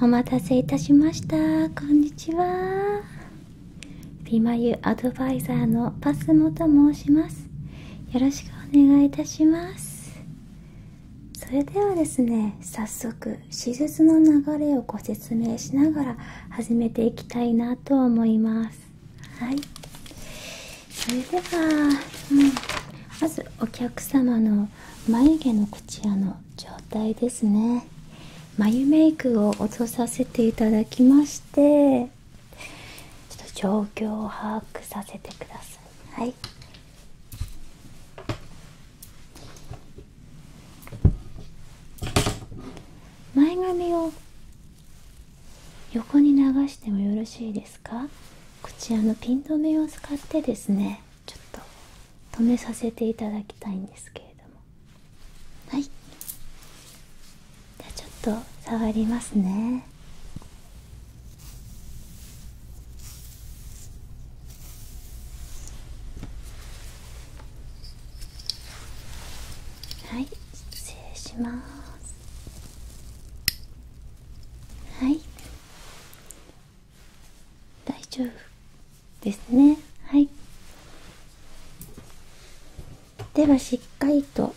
お待たせいたしましたこんにちは美眉アドバイザーのパスモと申しますよろしくお願いいたしますそれではですね早速施術の流れをご説明しながら始めていきたいなと思いますはいそれでは、うん、まずお客様の眉毛のこちらの状態ですね眉メイクを落とさせていただきましてちょっと状況を把握させてくださいはい前髪を横に流してもよろしいですかこちらのピン留めを使ってですねちょっと止めさせていただきたいんですけれどもはいじゃあちょっと触りますねはい失礼しますはい大丈夫ですねはいではしっかりと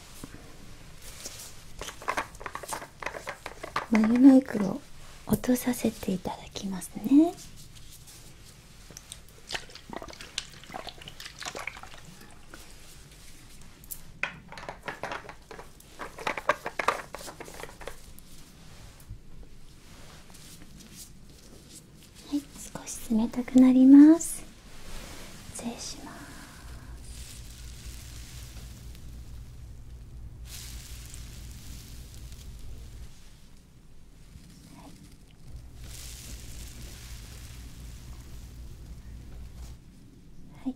眉メイクを落とさせていただきますねはい、少し冷たくなります失礼しますはい、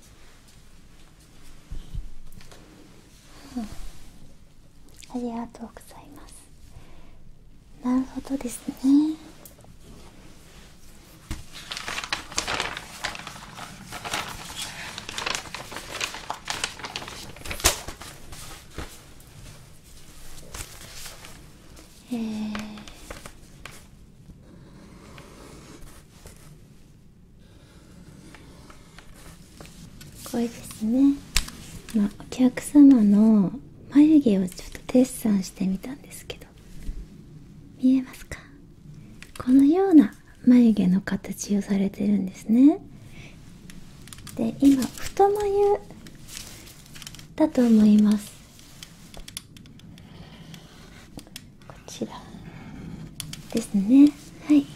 うん、ありがとうございますなるほどですねええ。これですね、まお客様の眉毛をちょっとデッサンしてみたんですけど見えますかこのような眉毛の形をされてるんですねで今太眉だと思いますこちらですねはい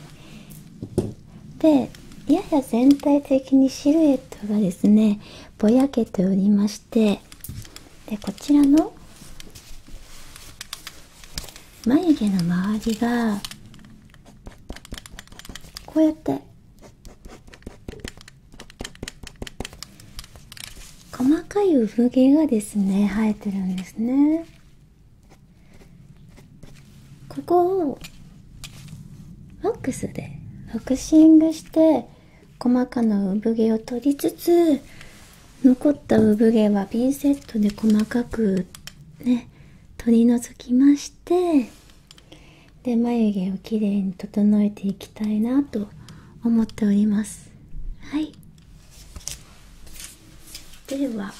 でやや全体的にシルエットがですねぼやけておりましてでこちらの眉毛の周りがこうやって細かい産毛がですね生えてるんですねここをワックスでフクシングして細かな産毛を取りつつ残った産毛はピンセットで細かくね取り除きましてで眉毛をきれいに整えていきたいなと思っておりますはいでは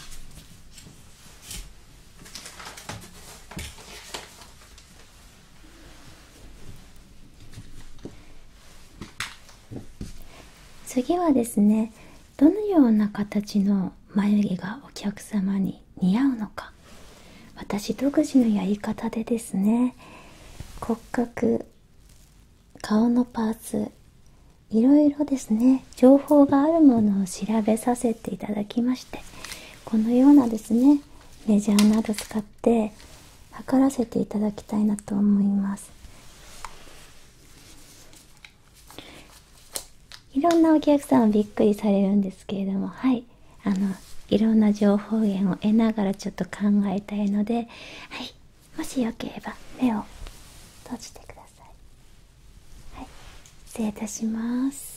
次はですねどのような形の眉毛がお客様に似合うのか私独自のやり方でですね骨格顔のパーツいろいろですね情報があるものを調べさせていただきましてこのようなですねレジャーなど使って測らせていただきたいなと思いますいろんなお客さんはびっくりされるんですけれどもはいあのいろんな情報源を得ながらちょっと考えたいのではいもしよければ目を閉じてくださいはい失礼いたします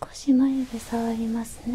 少し眉毛触りますね。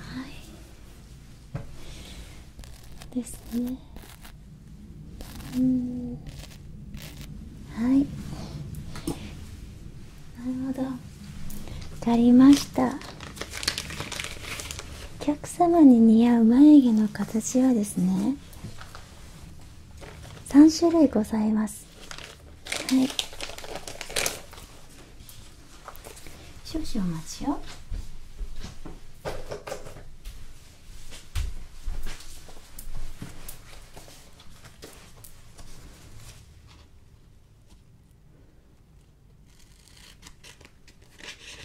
はいですねうんはいなるほど足りましたお客様に似合う眉毛の形はですね3種類ございますはい少々お待ちを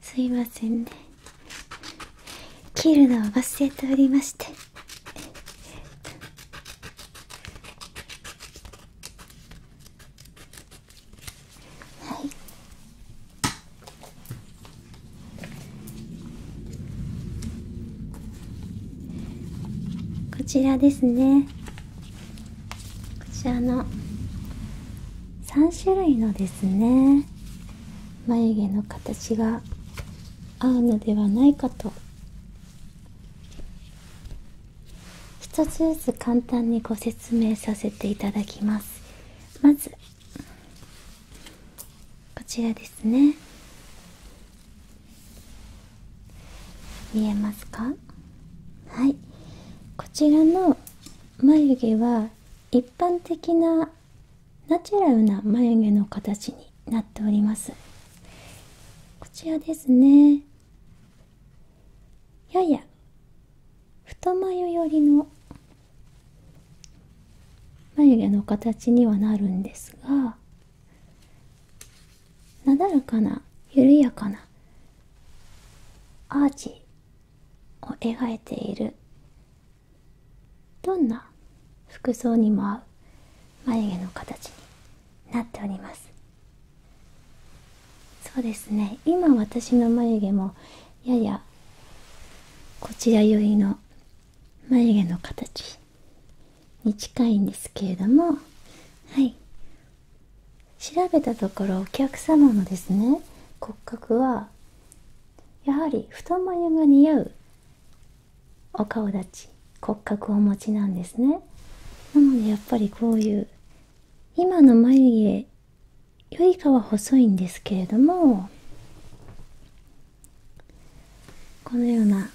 すいませんね切るのを忘れておりましてはいこちらですねこちらの3種類のですね眉毛の形が合うのではないかと1つずつ簡単にご説明させていただきますまずこちらですね見えますかはいこちらの眉毛は一般的なナチュラルな眉毛の形になっておりますこちらですねやや太眉寄りの眉毛の形にはなるんですがなだらかな緩やかなアーチを描いているどんな服装にも合う眉毛の形になっておりますそうですね今私の眉毛もややこちら寄りの眉毛の形に近いんですけれどもはい調べたところお客様のですね骨格はやはり太眉が似合うお顔立ち骨格をお持ちなんですねなのでやっぱりこういう今の眉毛よりかは細いんですけれどもこのような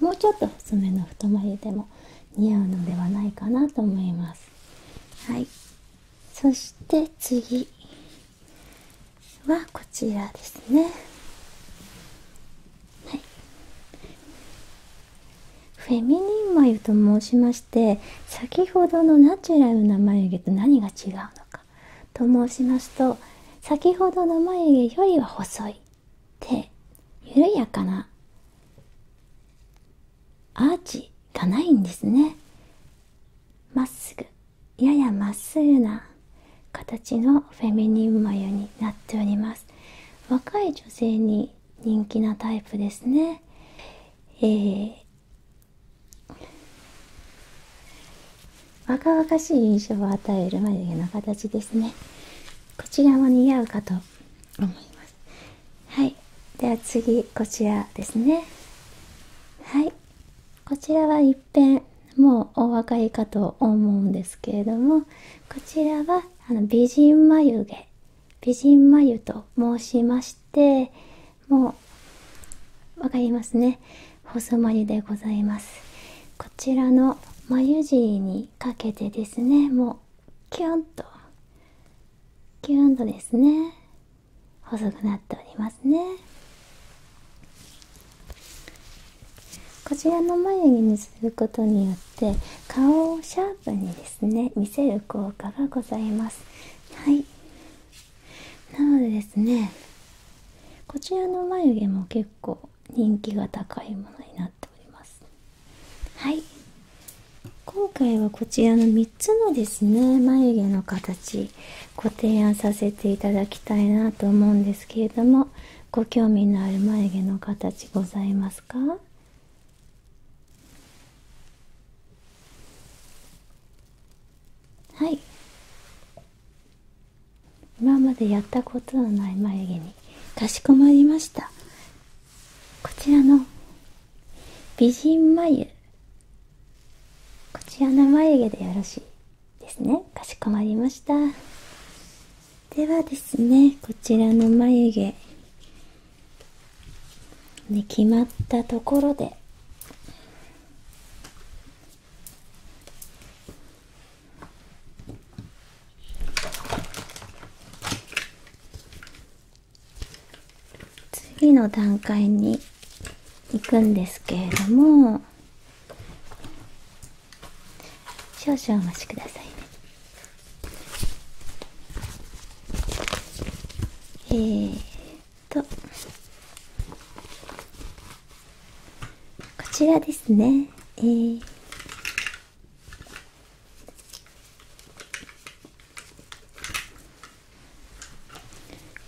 もうちょっと薄めの太眉でも似合うのではないかなと思いますはいそして次はこちらですねフェミニン眉と申しまして先ほどのナチュラルな眉毛と何が違うのかと申しますと先ほどの眉毛よりは細いで緩やかなアーチがないんですねまっすぐややまっすぐな形のフェミニン眉になっております若い女性に人気なタイプですねえ若々しい印象を与える眉毛の形ですねこちらも似合うかと思いますはいでは次こちらですねはいこちらはいっぺんもうお分かりかと思うんですけれどもこちらはあの美人眉毛美人眉と申しましてもう分かりますね細まりでございますこちらの眉尻にかけてですねもうキュンとキュンとですね細くなっておりますねこちらの眉毛にすることによって顔をシャープにですね見せる効果がございますはいなのでですねこちらの眉毛も結構人気が高いものになっておりますはい今回はこちらの3つのですね眉毛の形ご提案させていただきたいなと思うんですけれどもご興味のある眉毛の形ございますかはい今までやったことのない眉毛にかしこまりましたこちらの美人眉こちらの眉毛でよろしいですねかしこまりましたではですねこちらの眉毛、ね、決まったところで次の段階に行くんですけれども少々お待ちくださいねえっとこちらですね、こ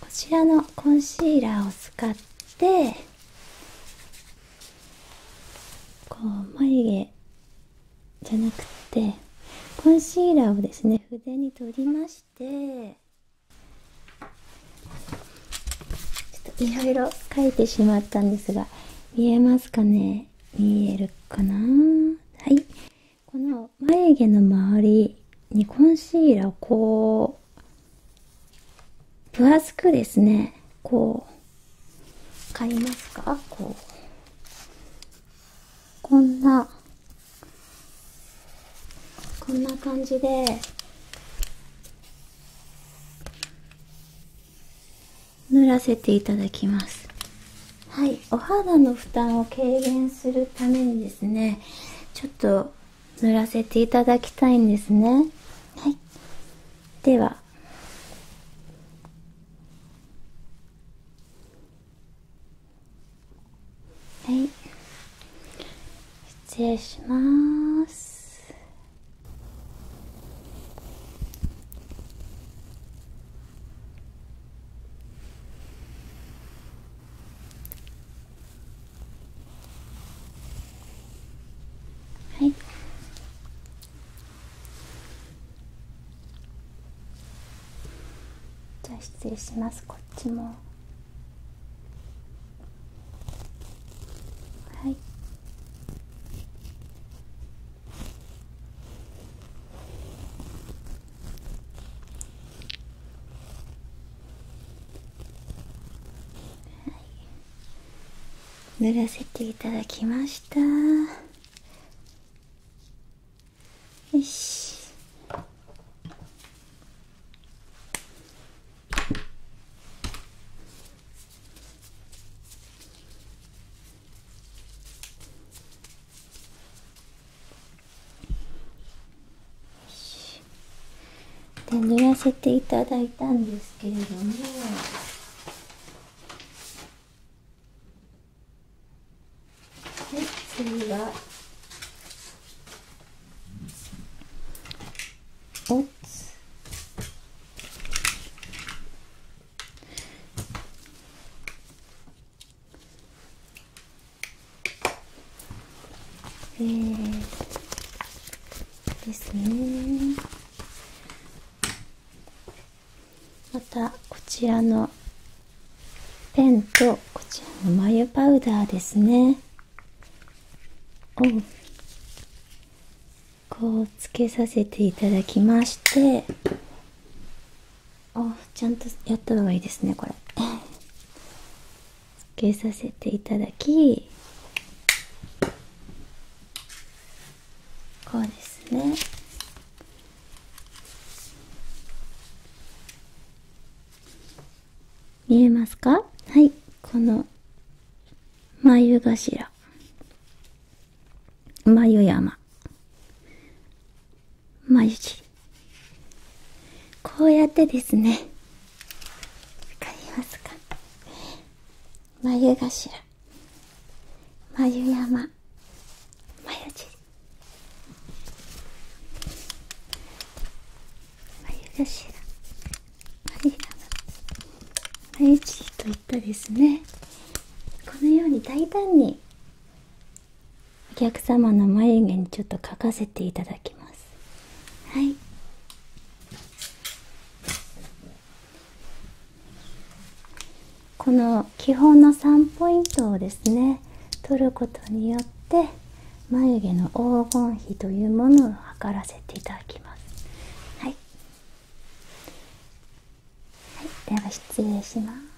ちらのコンシーラーを使ってこう眉毛じゃなくてコンシーラーをですね筆に取りましてちょいろいろ書いてしまったんですが、見えますかね見えるかなはい。この眉毛の周りにコンシーラーをこう、分厚くですね、こう、買いますかこう。こんな、こんな感じで、塗らせていただきますはいお肌の負担を軽減するためにですねちょっと塗らせていただきたいんですねはいでははい失礼しますはいじゃあ失礼しますこっちも。はいはい。塗らせていただきましたよしで塗らせていただいたんですけれどもはい次はお o p えですねまたこちらのペンとこちらの眉パウダーですねこうつけさせていただきましてあちゃんとやった方がいいですねこれ つけさせていただきこうですね見えますかはいこの眉頭眉山眉こうやってですね眉頭眉山眉尻眉頭はいといったですねこのように大胆にお客様の眉毛にちょっと描かせていただきますはいこの基本の3ポイントをですね取ることによって眉毛の黄金比というものを測らせていただきますはい、はい、では失礼します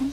はい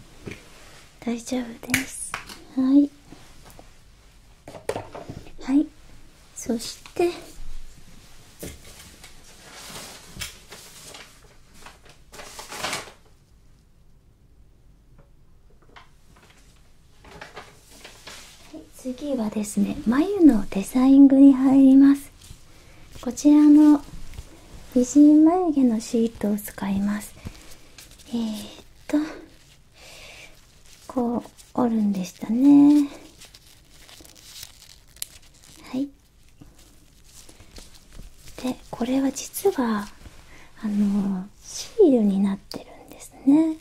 大丈夫ですはいはいそして次はですね眉のデザインに入りますこちらの美人眉毛のシートを使いますえっとこう折るんでしたねはいでこれは実はあのシールになってるんですね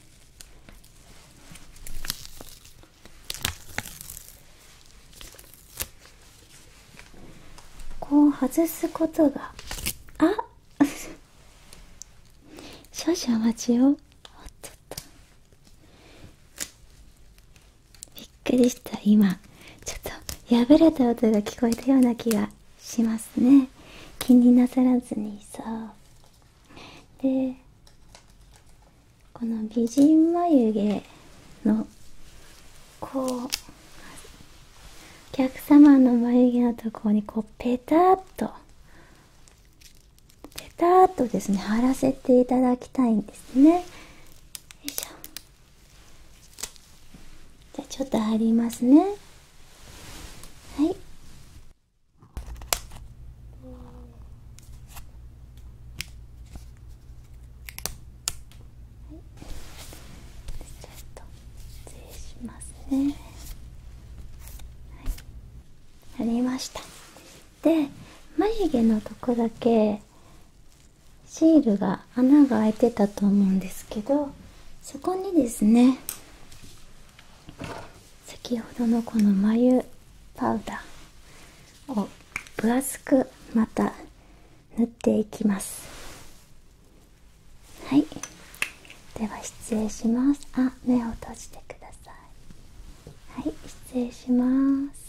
こう外すことがあっ 少々お待ちをおっとっとびっくりした今ちょっと破れた音が聞こえたような気がしますね気になさらずにさでこの美人眉毛のこうお客様の眉毛のところにこうペタッとペタッとですね貼らせていただきたいんですねよいしょじゃあちょっと貼りますねはいはい、ちょっと失礼しますねはいやりましたで眉毛のとこだけシールが穴が開いてたと思うんですけどそこにですね先ほどのこの眉パウダーを分厚くまた塗っていきますはいでは失礼しますあ目を閉じてくださいはい失礼します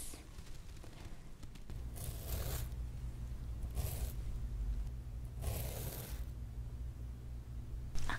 あ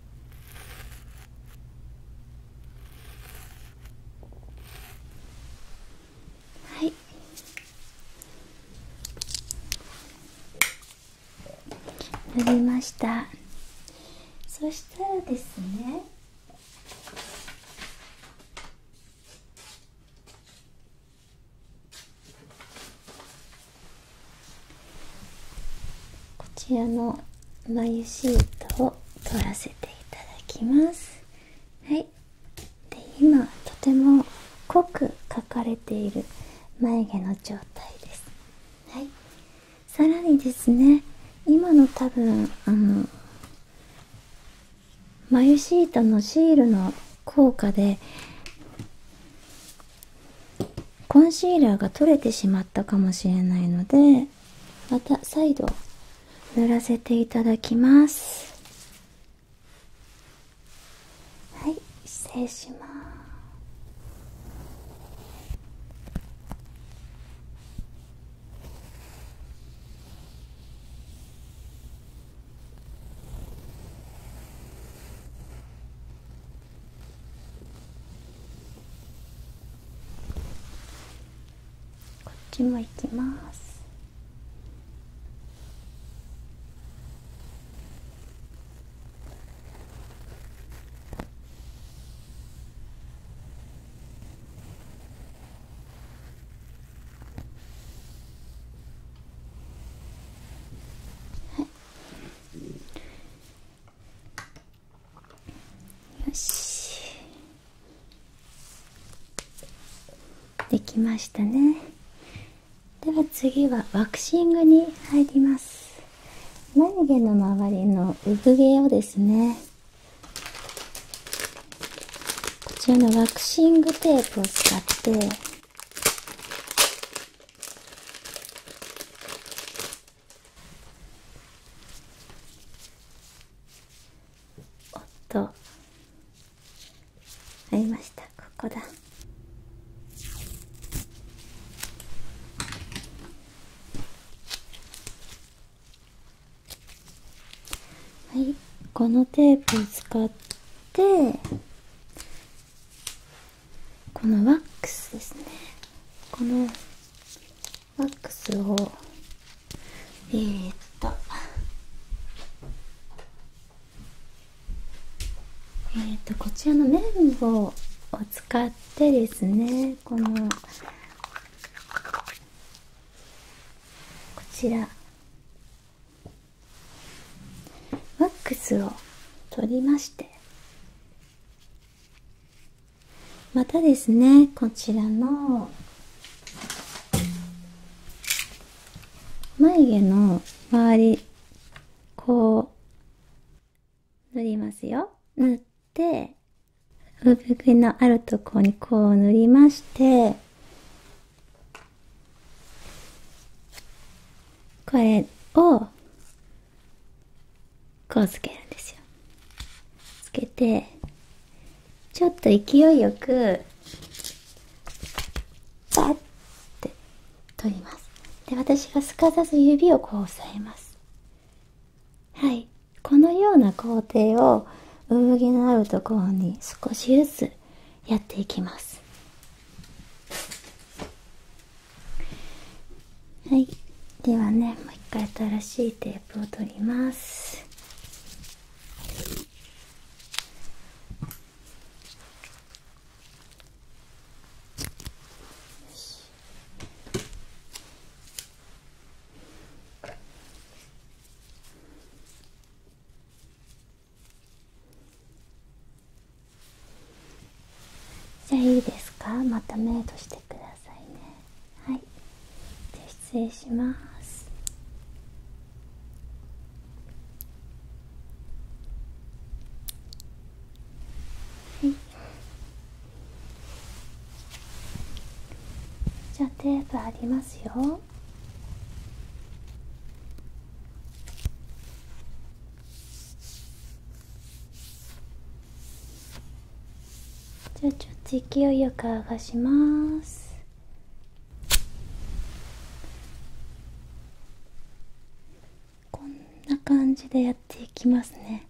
はい塗りましたそしたらですねこちらの眉シートを取らせていただきますはいで今とても濃く描かれている眉毛の状態ですはいさらにですね今の多分あの眉シートのシールの効果でコンシーラーが取れてしまったかもしれないのでまた再度塗らせていただきますはい失礼しますこっちも行きますはいよしできましたねでは次はワクシングに入ります眉毛の周りの産毛をですねこちらのワクシングテープを使っておっと合いましたここだはいこのテープを使ってこのワックスですねこのワックスをえっとえっとこちらの綿棒を使ってですねこのこちらワックスを取りましてまたですねこちらの眉毛の周りこう塗りますよ塗って産毛のあるところにこう塗りましてこれをこうつけるんですよつけてちょっと勢いよくバッて取りますで私がすかさず指をこう押さえますはいこのような工程を産毛の合うところに少しずつやっていきますはいではねもう一回新しいテープを取りますじゃあいいですかまたメイドしてくださいねはいじゃあ失礼しますはいじゃあテープありますよじゃあちょっと勢いよくあがしますこんな感じでやっていきますね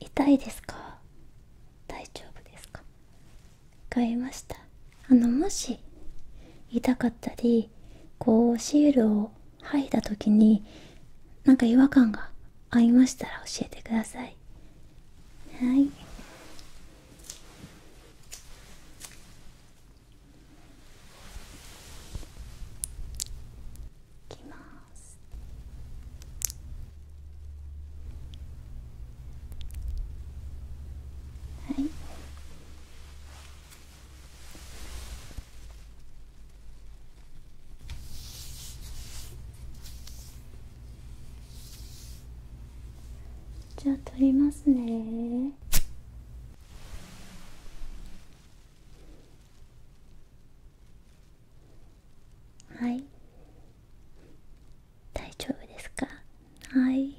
痛いですか大丈夫ですかわかりましたあのもし痛かったりこうシールを吐いた時になんか違和感がありましたら教えてくださいはいいきますはいじゃあ取りますねはい大丈夫ですかはい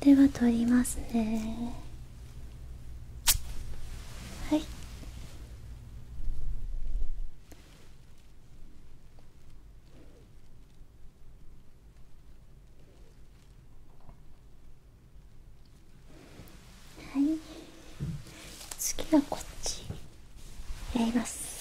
では取りますね。はいはい次はこっちやります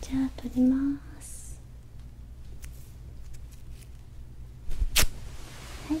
じゃあ取りますはい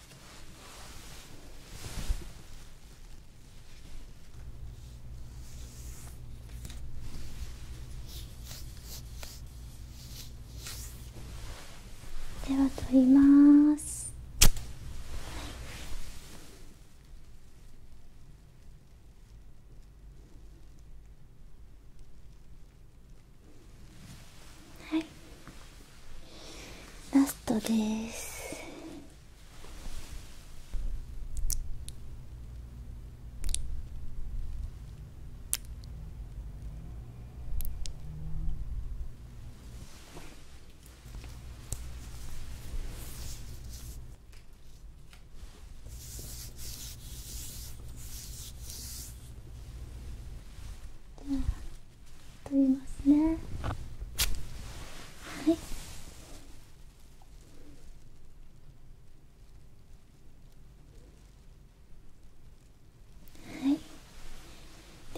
では取ります、はい、はい、ラストです取りますねはいはい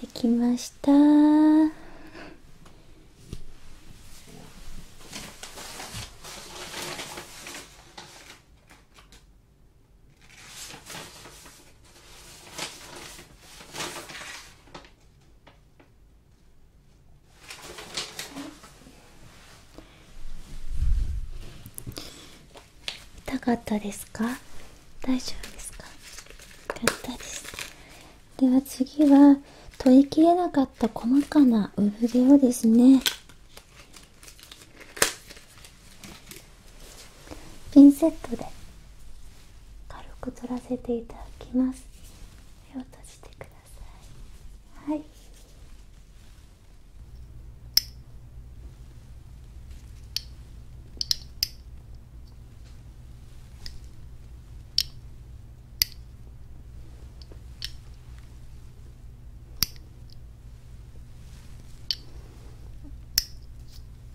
できましたー痛かったですか大丈夫ですかよかですでは次は取りきれなかった細かな産毛をですねピンセットで軽く取らせていただきます目を閉じてくださいはい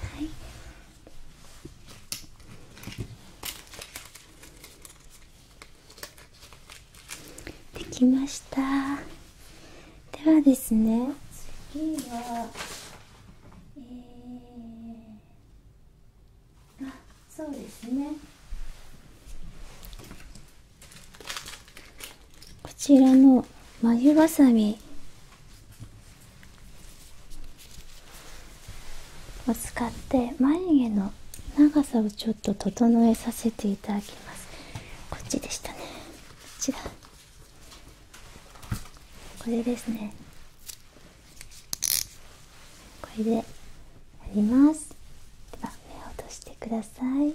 はいできましたではですね次はえーあそうですねこちらの眉ぎわさびを使って眉毛の長さをちょっと整えさせていただきますこっちでしたねこちらこれですねこれでやりますでは目を落とてくださいはい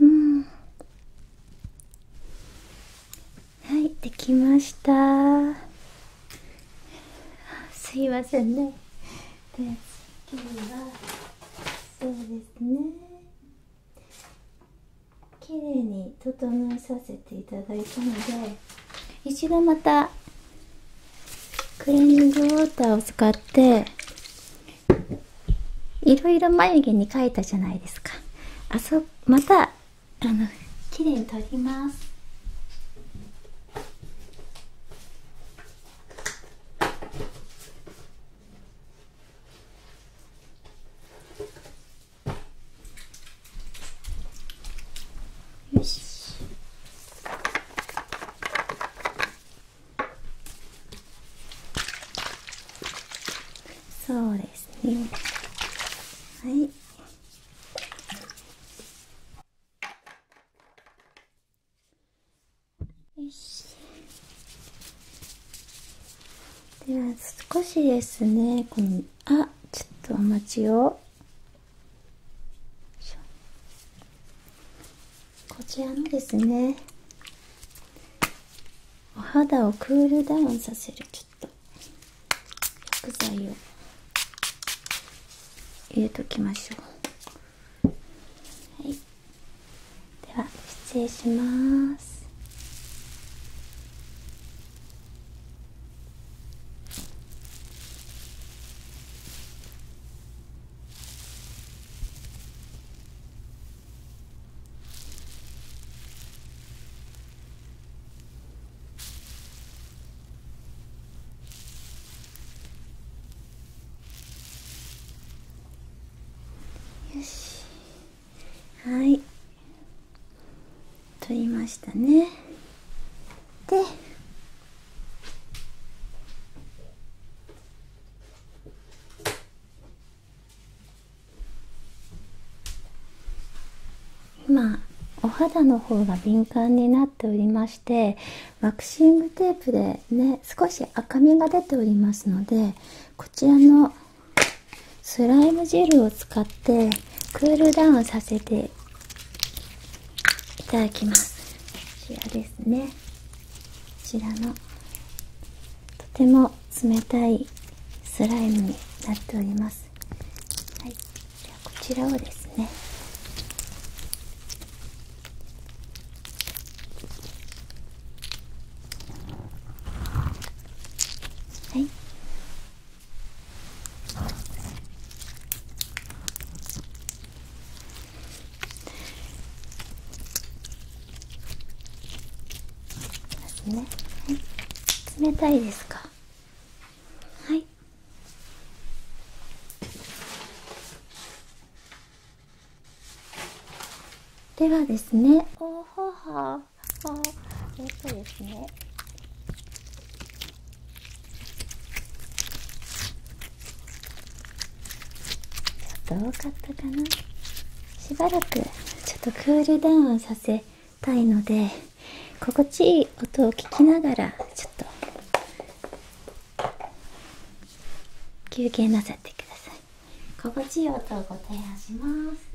うんはいできましたすいませんねで次はそうですね綺麗に整えさせていただいたので一度またクレンジングウォーターを使っていろいろ眉毛に描いたじゃないですかあそまたあの綺麗に取りますよしそうですねはいよしでは少しですねこのあちょっとお待ちをこちらのですねお肌をクールダウンさせるちょっと薬剤を入れときましょうはいでは失礼しますよしはい取りましたねで今お肌の方が敏感になっておりましてワクシングテープでね少し赤みが出ておりますのでこちらのスライムジェルを使ってクールダウンさせていただきますこちらですねこちらのとても冷たいスライムになっておりますこちらをですねですね、冷たいですかはいではですねおほはあえっとですねちょっと多かったかなしばらくちょっとクールダウンさせたいので心地いい音を聞きながらちょっと休憩なさってください心地いい音を提案します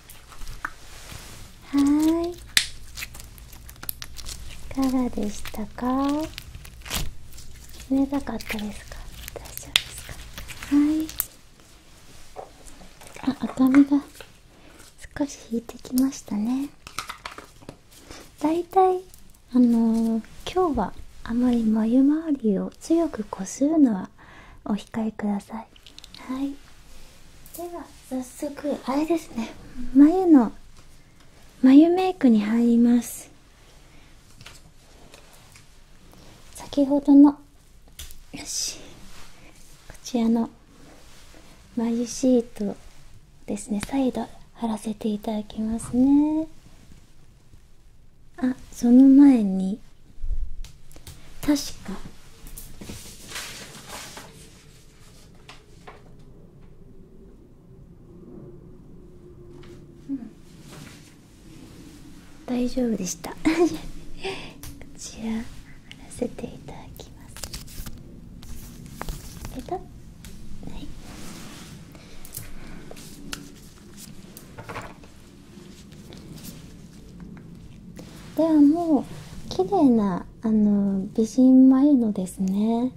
はいいかがでしたか冷たかったですか大丈夫ですかはいあ赤みが少し引いてきましたねだいたいあの今日はあまり眉周りを強くこするのはお控えくださいはいでは早速あれですね眉の眉メイクに入ります先ほどのよしこちらの眉シートですね再度貼らせていただきますねあその前に確かうん大丈夫でしたこちら貼らせていただきますいではもう綺麗なあの美人眉のですね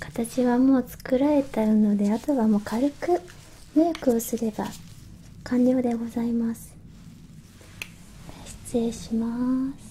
形はもう作られたのであとはもう軽くメイクをすれば完了でございます失礼します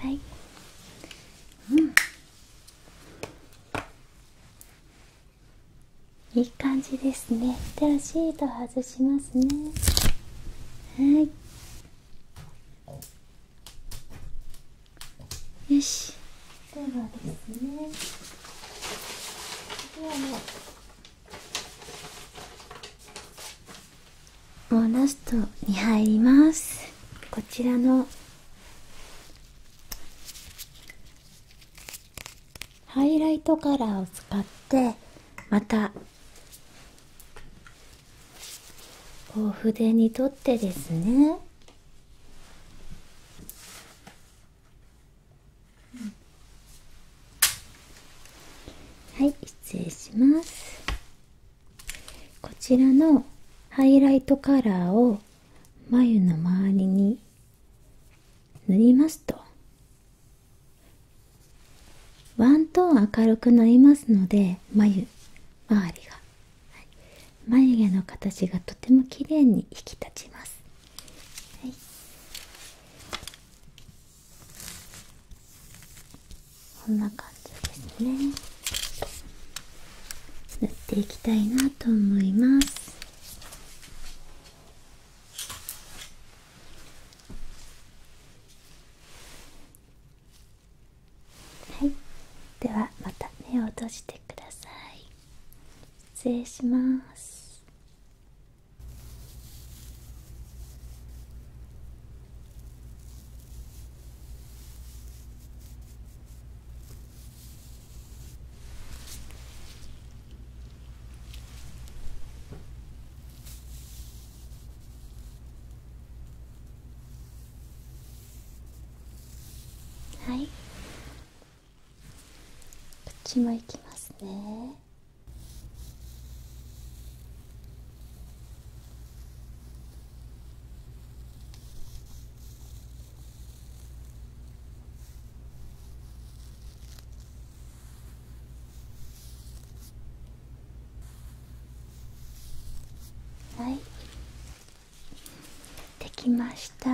はいいい感じですねではシート外しますねはいよしではですねではももうラストに入りますこちらのハイライトカラーを使ってまたこう筆にとってですねはい失礼しますこちらのハイライトカラーを眉の周りに塗りますとワントーン明るくなりますので眉周りが、眉毛の形がとても綺麗に引き立ちます、はい、こんな感じですね縫っていきたいなと思いますはいではまた目を閉じてください失礼しますはいこっちも行きますねはいできました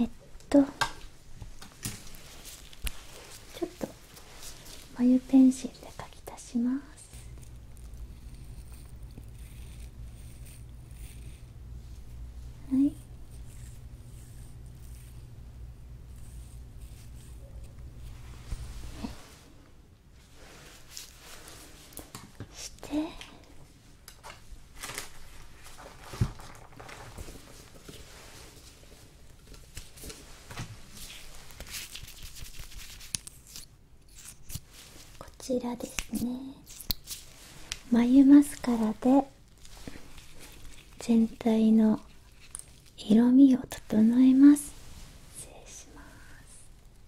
えっとちょっと眉ペンシで描き足しますはいしてこちらですね眉マスカラで全体の色味を整えます失礼します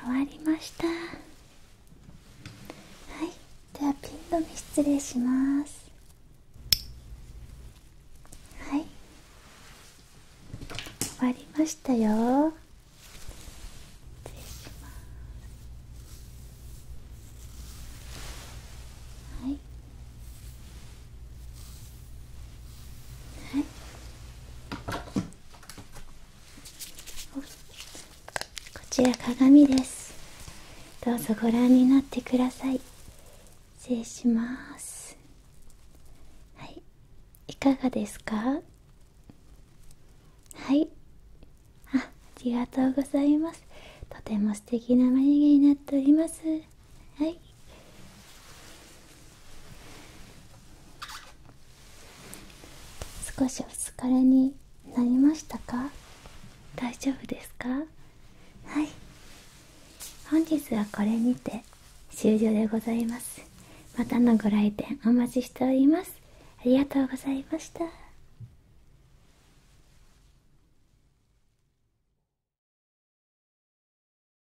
終わりましたはいではピン止め失礼しますはい終わりましたよ失礼しますはいはいこちら鏡ですどうぞご覧になってください失礼しますはいいかがですかはいあありがとうございますとても素敵な眉毛になっておりますはい少しお疲れになりましたか大丈夫ですかはい本日はこれにて終了でございますまたのご来店お待ちしておりますありがとうございました